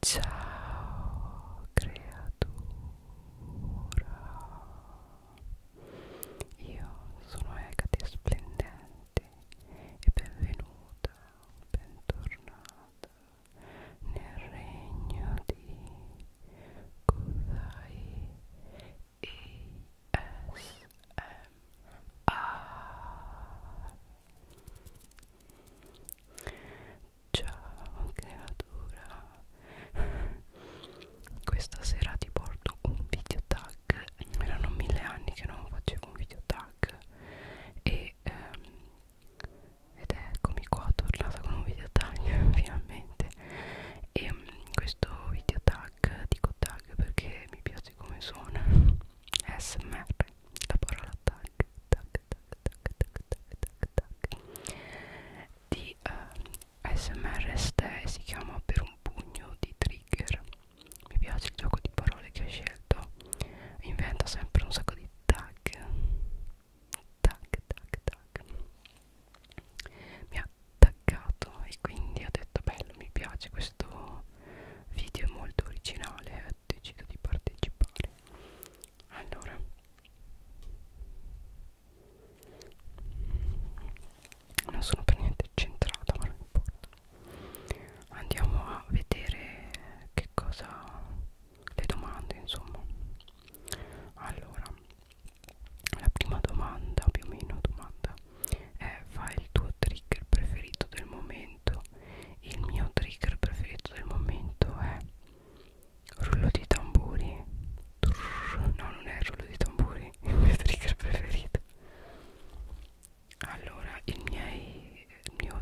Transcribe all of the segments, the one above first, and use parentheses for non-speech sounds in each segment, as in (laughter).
Ciao creatura, io sono Ecate Splendente e benvenuta, bentornata nel regno di Kudai ASMR Ciao creatura Questa sera ti porto un video tag Erano mille anni che non facevo un video tag e, ehm, Ed eccomi qua tornata con un video tag (laughs) finalmente E mm, questo video tag dico tag perché mi piace come suona SMR la parola tag tac tac tac tac tac tac tac di eh, smr stay si chiama per un pugno di trigger mi piace il gioco di parole che ho scelto inventa sempre un sacco di tag tac tac tac mi ha attaccato e quindi ho detto bello mi piace questo video è molto originale deciso di partecipare allora non sono per niente centrata ma non importa andiamo a vedere che cosa le domande insomma allora la prima domanda più o meno domanda è fa il tuo trigger preferito del momento il mio trigger preferito del momento è rullo di tamburi Turr, no non è il rullo di tamburi (laughs) il mio trigger preferito allora il, miei, il mio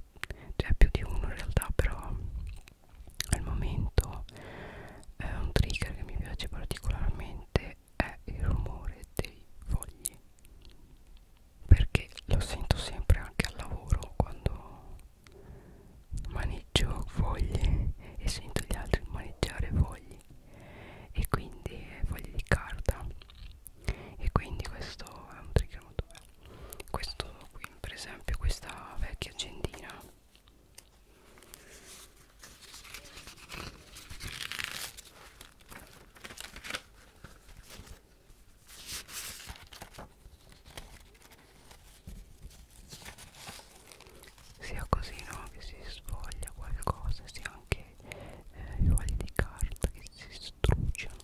c'è cioè più di uno in realtà però al momento è eh, un trigger che mi piace particolarmente è il rumore dei fogli perché lo sento sempre anche al lavoro quando maneggio foglie e sento gli altri maneggiare fogli e quindi eh, fogli di carta e quindi questo è un trigger molto bello questo qui per esempio questa vecchia agendina sia così no che si sfoglia qualcosa sia anche eh, i fogli di carta che si struggiano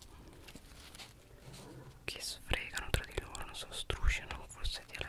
che sfregano tra di loro non so strusciano forse dialetto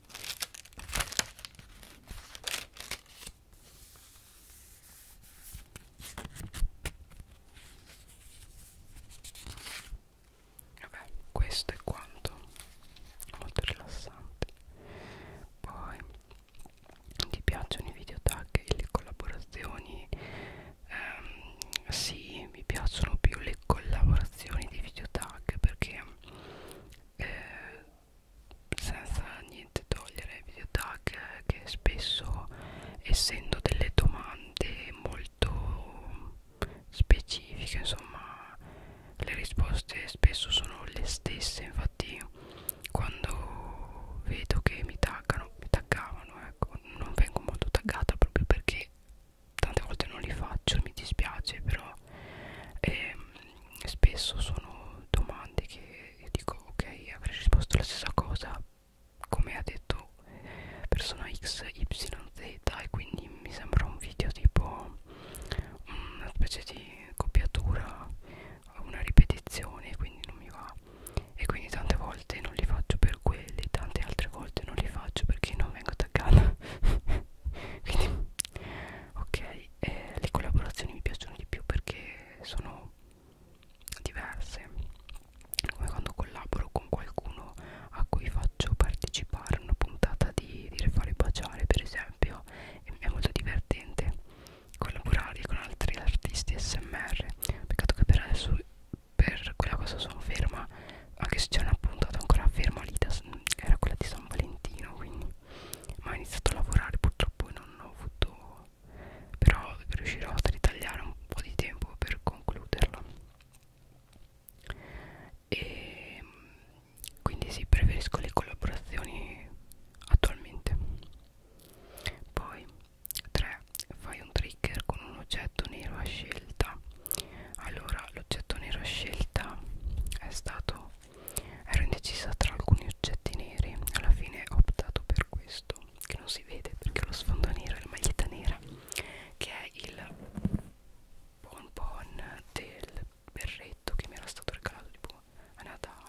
Vabbè, questo è quanto, molto rilassante. Poi ti piacciono i video tag e le collaborazioni? Ehm, sì, mi piacciono più le collaborazioni di video tag perché eh, senza niente togliere ai video tag che spesso essendo delle domande molto specifiche insomma le risposte spesso sono le stesse infatti quando vedo che mi taggano mi taggavano ecco non vengo molto taggata proprio perché tante volte non li faccio mi dispiace però eh, spesso sono domande che io dico ok avrei risposto la stessa cosa come ha detto persona x y z e quindi mi sembra un video tipo una specie di copiatura una ripetizione quindi non mi va e quindi tante volte non li faccio per quelli tante altre volte non li faccio perché non vengo attaccata (laughs) quindi ok eh, le collaborazioni mi piacciono di più perché sono diverse come quando collaboro con qualcuno a cui faccio partecipare a una puntata di, di Refare Baciare per esempio è molto divertente collaborare con altri artisti smr peccato che per adesso per quella cosa sono ferma anche se c'è una puntata ancora ferma lì, da, era quella di San Valentino, quindi ma ho iniziato a lavorare purtroppo e non ho avuto, però riuscirò a ritagliare un po' di tempo per concluderla. E ehm, quindi sì, preferisco le collaborazioni attualmente. Poi 3. Fai un trigger con un oggetto nero a scelta allora l'oggetto nero scelta è stato ero indecisa tra alcuni oggetti neri alla fine ho optato per questo che non si vede perché lo sfondo nero è la maglietta nera che è il bon bon del berretto che mi era stato regalato tipo a Natale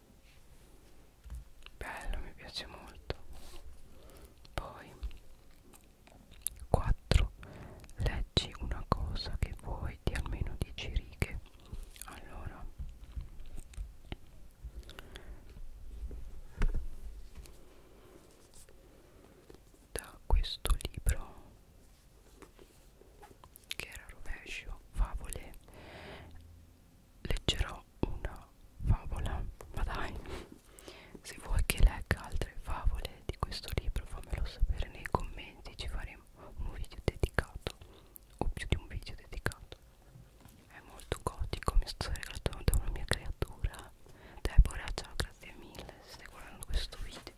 bello mi piace molto poi 4 leggi una cosa che vuoi di almeno 10 righe allora da questo libro che era rovescio favole leggerò una favola ma dai se vuoi che legga altre favole di questo libro fammelo sapere nei commenti ci faremo un video dedicato o più di un video dedicato è molto gotico mi sto regalando da una mia creatura Deborah ciao grazie mille se stai guardando questo video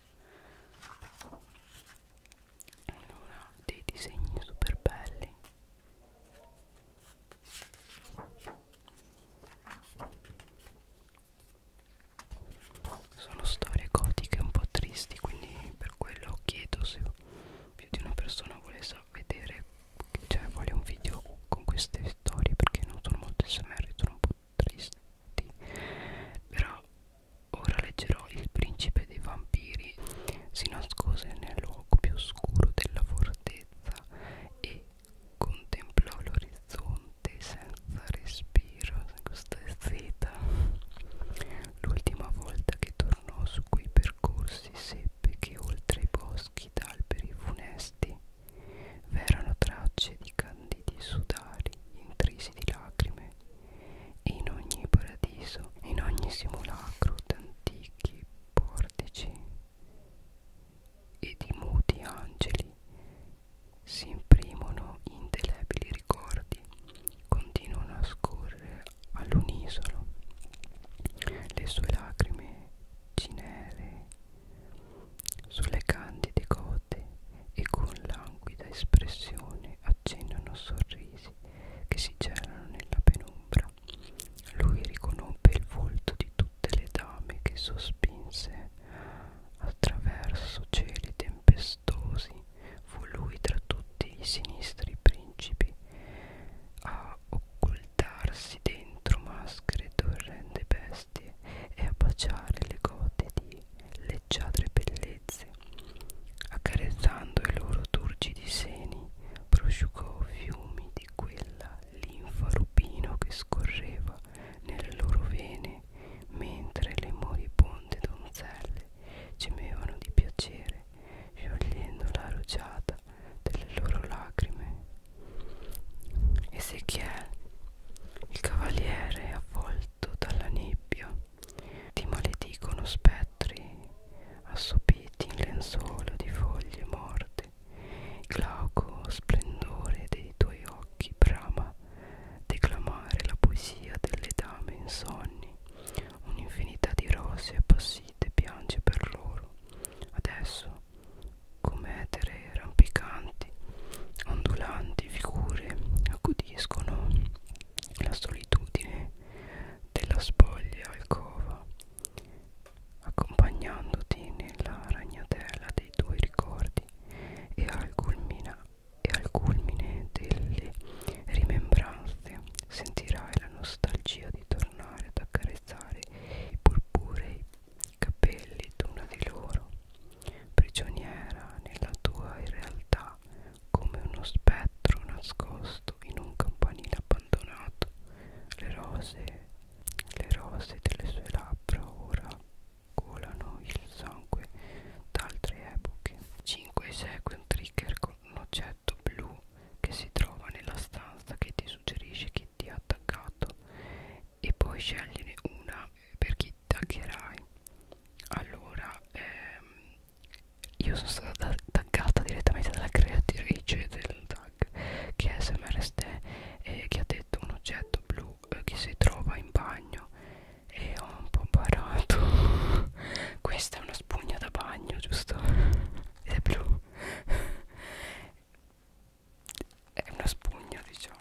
allora dei disegni super belli sono storie gotiche un po' tristi, quindi per quello chiedo se più di una persona volesse vedere, cioè voglio un video con queste storie perché non sono molto smr, sono un po' tristi. Però ora leggerò Il principe colpe dei vampiri si nascose nel luogo più oscuro della fortezza e contemplò l'orizzonte senza respiro questa zeta l'ultima volta che tornò su quei percorsi seppe che oltre i boschi d'alberi funesti v'erano tracce di candidi sudari intrisi di lacrime e in ogni paradiso in ogni simulacro d'antichi portici e di muti angeli si imprimono indelebili ricordi, continuano a scorrere all'unisono le sue lacrime cinere sulle candide gote e con languida espressione accennano sorrisi che si celano nella penombra lui riconobbe il volto di tutte le dame che sospinse attraverso cieli tempestosi. Fu lui tra tutti i sinistri principi a occultarsi dentro maschere d'orrende bestie e a baciare le gote di leggiadre bellezze, accarezzando i loro turgidi seni prosciugò fiumi di quella linfa rubino che scorreva nelle loro vene mentre le moribonde donzelle gemevano di piacere sciogliendo la rugiada delle loro lacrime Ezechiel il cavaliere avvolto dalla nebbia ti maledicono specchio altri assopiti in lenzuolo di foglie morte il glauco splendore dei tuoi occhi brama declamare la poesia delle dame insonni un'infinità di rose appassite piange per loro adesso come etere rampicanti ondulanti figure accudiscono la solitudine della spoglia alcova accompagnandoti nella ragnatela dei tuoi ricordi e al, culmina, e al culmine delle rimembranze sentirai la nostalgia di tornare ad accarezzare i purpure i capelli d'una di loro prigioniera nella tua realtà come uno spettro nascosto sdraiato in un campanile abbandonato le rose le rose delle sue labbra ora colano il sangue da altre epoche 5 esegue un trigger con un oggetto blu che si trova nella stanza che ti suggerisce chi ti ha attaccato e poi scegliene una per chi taccherai allora ehm, io sono stata taggata direttamente dalla creatrice del tag che è SMRST eh, che ha detto un oggetto blu eh, che si trova in bagno e ho un po' imparato (laughs) questa è una spugna da bagno giusto? (laughs) ed è blu (laughs) è una spugna diciamo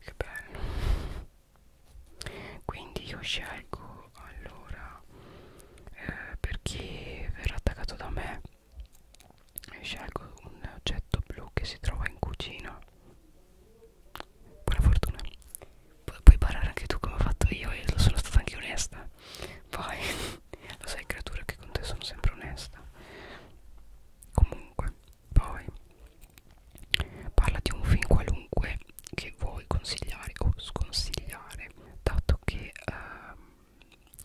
Che bello. Quindi io scelgo allora eh, per chi verrà attaccato da me scelgo un oggetto blu che si trova in cucina buona fortuna Pu puoi barare anche tu come ho fatto io e sono stata anche onesta poi (laughs) lo sai creatura che con te sono sempre onesta comunque poi parla di un film qualunque che vuoi consigliare o sconsigliare dato che eh,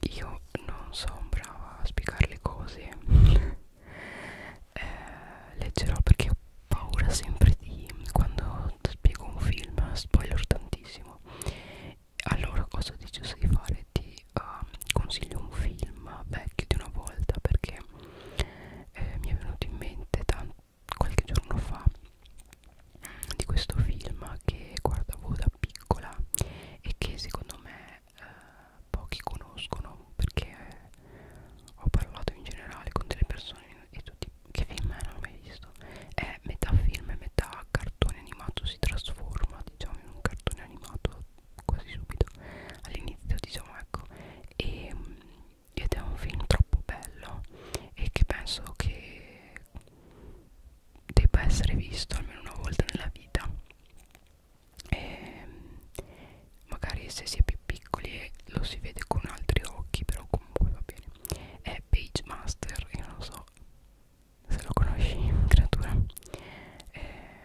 io non sono brava a spiegare le cose (laughs) eh, leggerò perché ho paura sempre di quando spiego un film spoiler tantissimo allora cosa ho deciso di fare? ti uh, consiglio un film vecchio di una volta perché eh, mi è venuto in mente qualche giorno fa di questo film che guardavo da piccola e che secondo me eh, pochi conoscono perché ho parlato in generale con delle persone e tutti che film è non l'ho mai visto è metà film e metà cartone animato si trasforma diciamo in un cartone animato quasi subito all'inizio diciamo ecco e, ed è un film troppo bello e che penso che debba essere visto almeno una volta nella vita e ehm, magari se si è più piccoli lo si vede con altri occhi però comunque va bene è Page Master io non so se lo conosci creatura eh,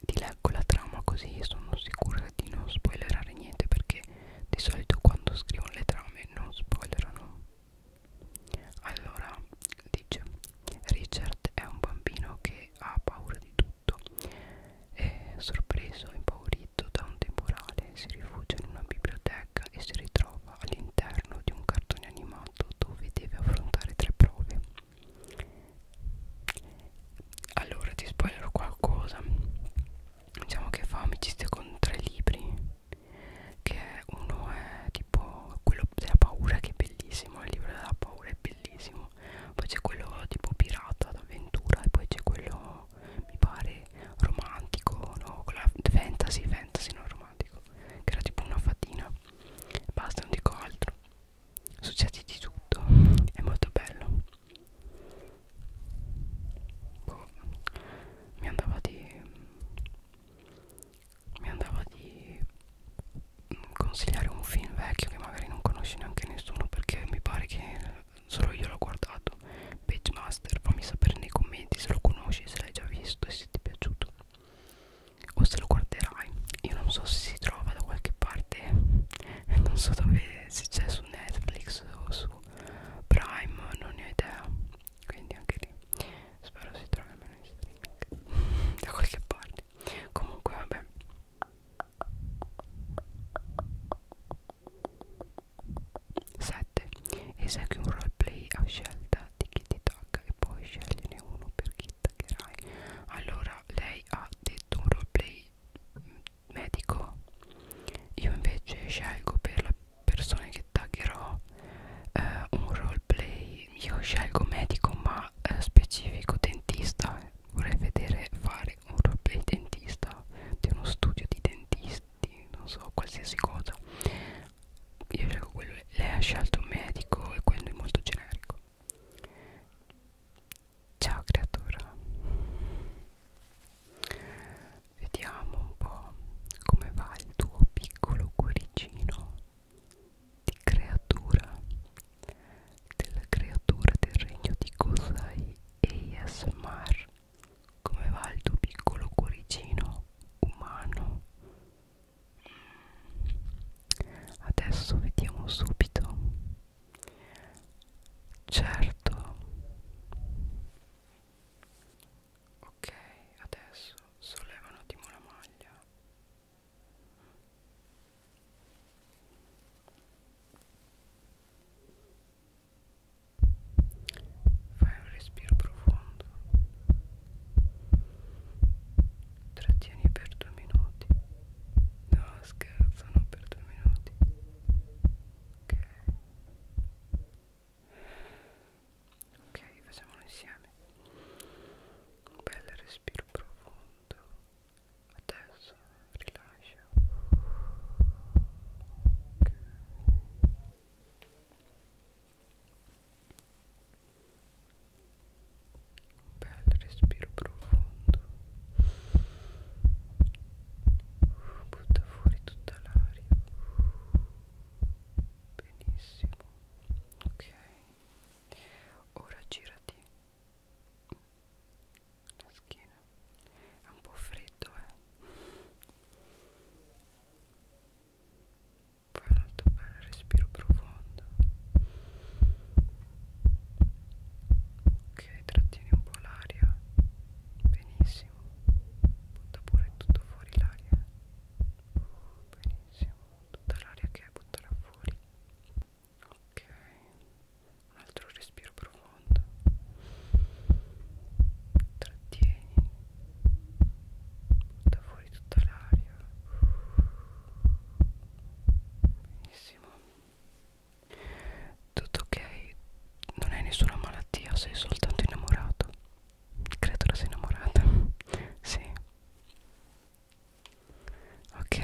ti leggo la trama così sono sicura di non spoilerare niente perché di solito quando scrivono le trame non spoilerano allora dice Richard è un bambino che ha paura di tutto. È sorpreso e impaurito da un temporale, si rifugia in una biblioteca e si ritrova all'interno di un cartone animato dove deve affrontare tre prove. Allora ti spoilerò qualcosa. Diciamo che fa amicizia con tre libri che uno è tipo quello della paura che è bellissimo il libro della paura è bellissimo poi c'è quello tipo pirata d'avventura e poi c'è quello mi pare romantico no quella fantasy fantasy non romantico che era tipo una fatina basta non dico altro succede di tutto è molto bello boh. mi andava di mi andava di consigliare un film vecchio che magari non conosce neanche nessuno perché mi pare che solo io l'ho guardato Pagemaster fammi sapere nei commenti se lo conosci se l'hai già visto e se ti è piaciuto o se lo guarderai io non so se si trova da qualche parte (laughs) non so dove se c'è su Netflix o su Prime non ne ho idea quindi anche lì spero si trovi almeno in streaming (laughs) da qualche parte comunque vabbè Sette. Esegui un roleplay a scelta di chi ti tagga e poi scegliene uno per chi taggerai. Allora, lei ha detto un roleplay mm, medico. Io invece scelgo per la persone che taggerò eh, un roleplay io scelgo medico ma eh, specifico dentista vorrei vedere fare un roleplay dentista di uno studio di dentisti non so qualsiasi cosa io scelgo quello lei ha scelto medico e quello è molto generico ciao creatura Vediamo un po' come va il tuo piccolo cuoricino di creatura, della creatura del regno di Kosai ASMR. Come va il tuo piccolo cuoricino umano? Adesso vediamo subito. Certo. Ok, adesso solleva un attimo la maglia. Fai un respiro profondo. Trattieni per due minuti. No, scherzo, non per due minuti. Ok ok facciamolo insieme un bel respiro profondo adesso rilascia ok un bel respiro profondo butta fuori tutta l'aria benissimo ok ora girati la schiena è un po' freddo eh poi un altro bel respiro profondo ok trattieni un po' l'aria benissimo benissimo butta pure tutto fuori l'aria benissimo tutta l'aria che butterà fuori ok un altro respiro profondo trattieni butta fuori tutta l'aria benissimo tutto ok non hai nessuna malattia sei soltanto innamorato creatura sei innamorata sì ok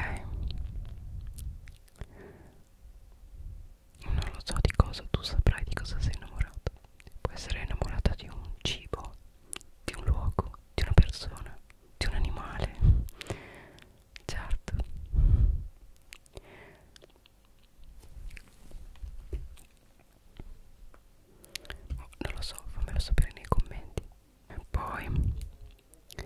non lo so di cosa tu saprai di cosa sei innamorata puoi essere innamorata di un cibo di un luogo di una persona di un animale certo Oh, non lo so, fammelo sapere nei commenti. E poi e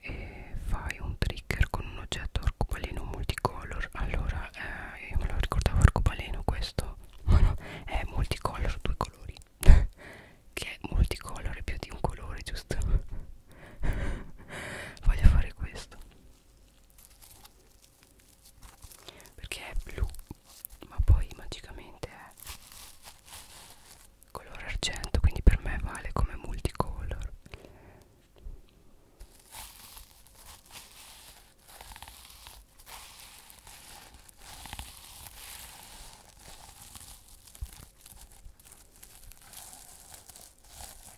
eh, fai un trigger con un oggetto arcobaleno multicolor. Allora, eh, io me lo ricordavo arcobaleno questo, ma no, è multicolor, due colori. (laughs) che è multicolor è più di un colore, giusto? (laughs) Voglio fare questo perché è blu ma poi magicamente è colore argento quindi per me vale come multicolor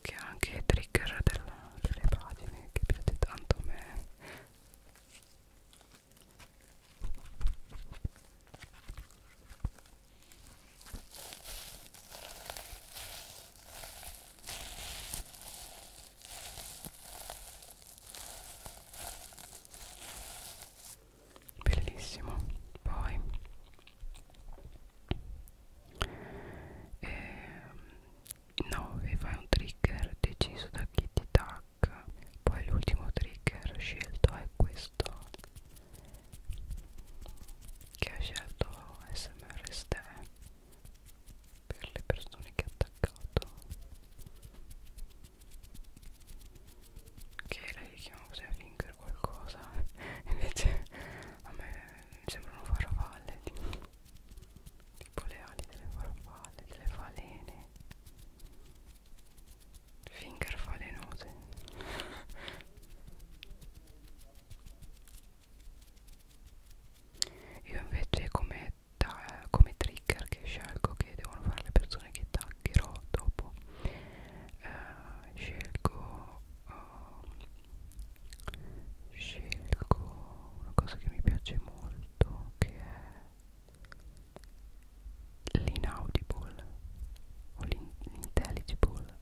che ha anche i trigger della, delle pagine che piace tanto a me bellissimo poi ehm, e 9 fai un trigger deciso da Kitty Tac poi l'ultimo trigger scelto è questo che ha scelto SMRST per le persone che ha attaccato che lei chiama così a finger qualcosa (laughs) invece a me sembrano farfalle tipo, tipo le ali delle farfalle delle falene finger falenose io invece come, da, come trigger che scelgo che devono fare le persone che taggerò dopo eh, scelgo eh, scelgo una cosa che mi piace molto che è l'inaudible o l'intelligible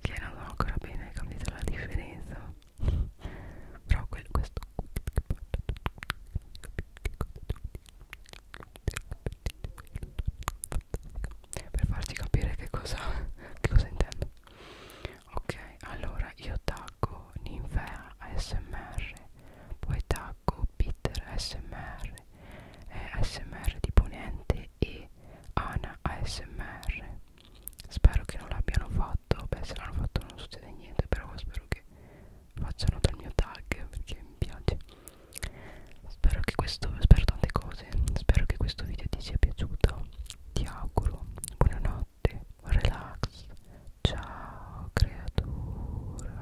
che non so ancora bene capito la differenza (laughs) però quel, questo per farti capire che cosa, che cosa intendo ok allora io taggo ninfea ASMR poi taggo Peter ASMR eh, ASMR di Ponente e Ana ASMR spero che non l'abbiano fatto beh se l'hanno fatto non succede niente però spero che facciano dal mio tag perché mi piace spero che questo spero tante cose spero che questo video ti sia piaciuto ti auguro buonanotte relax ciao creatura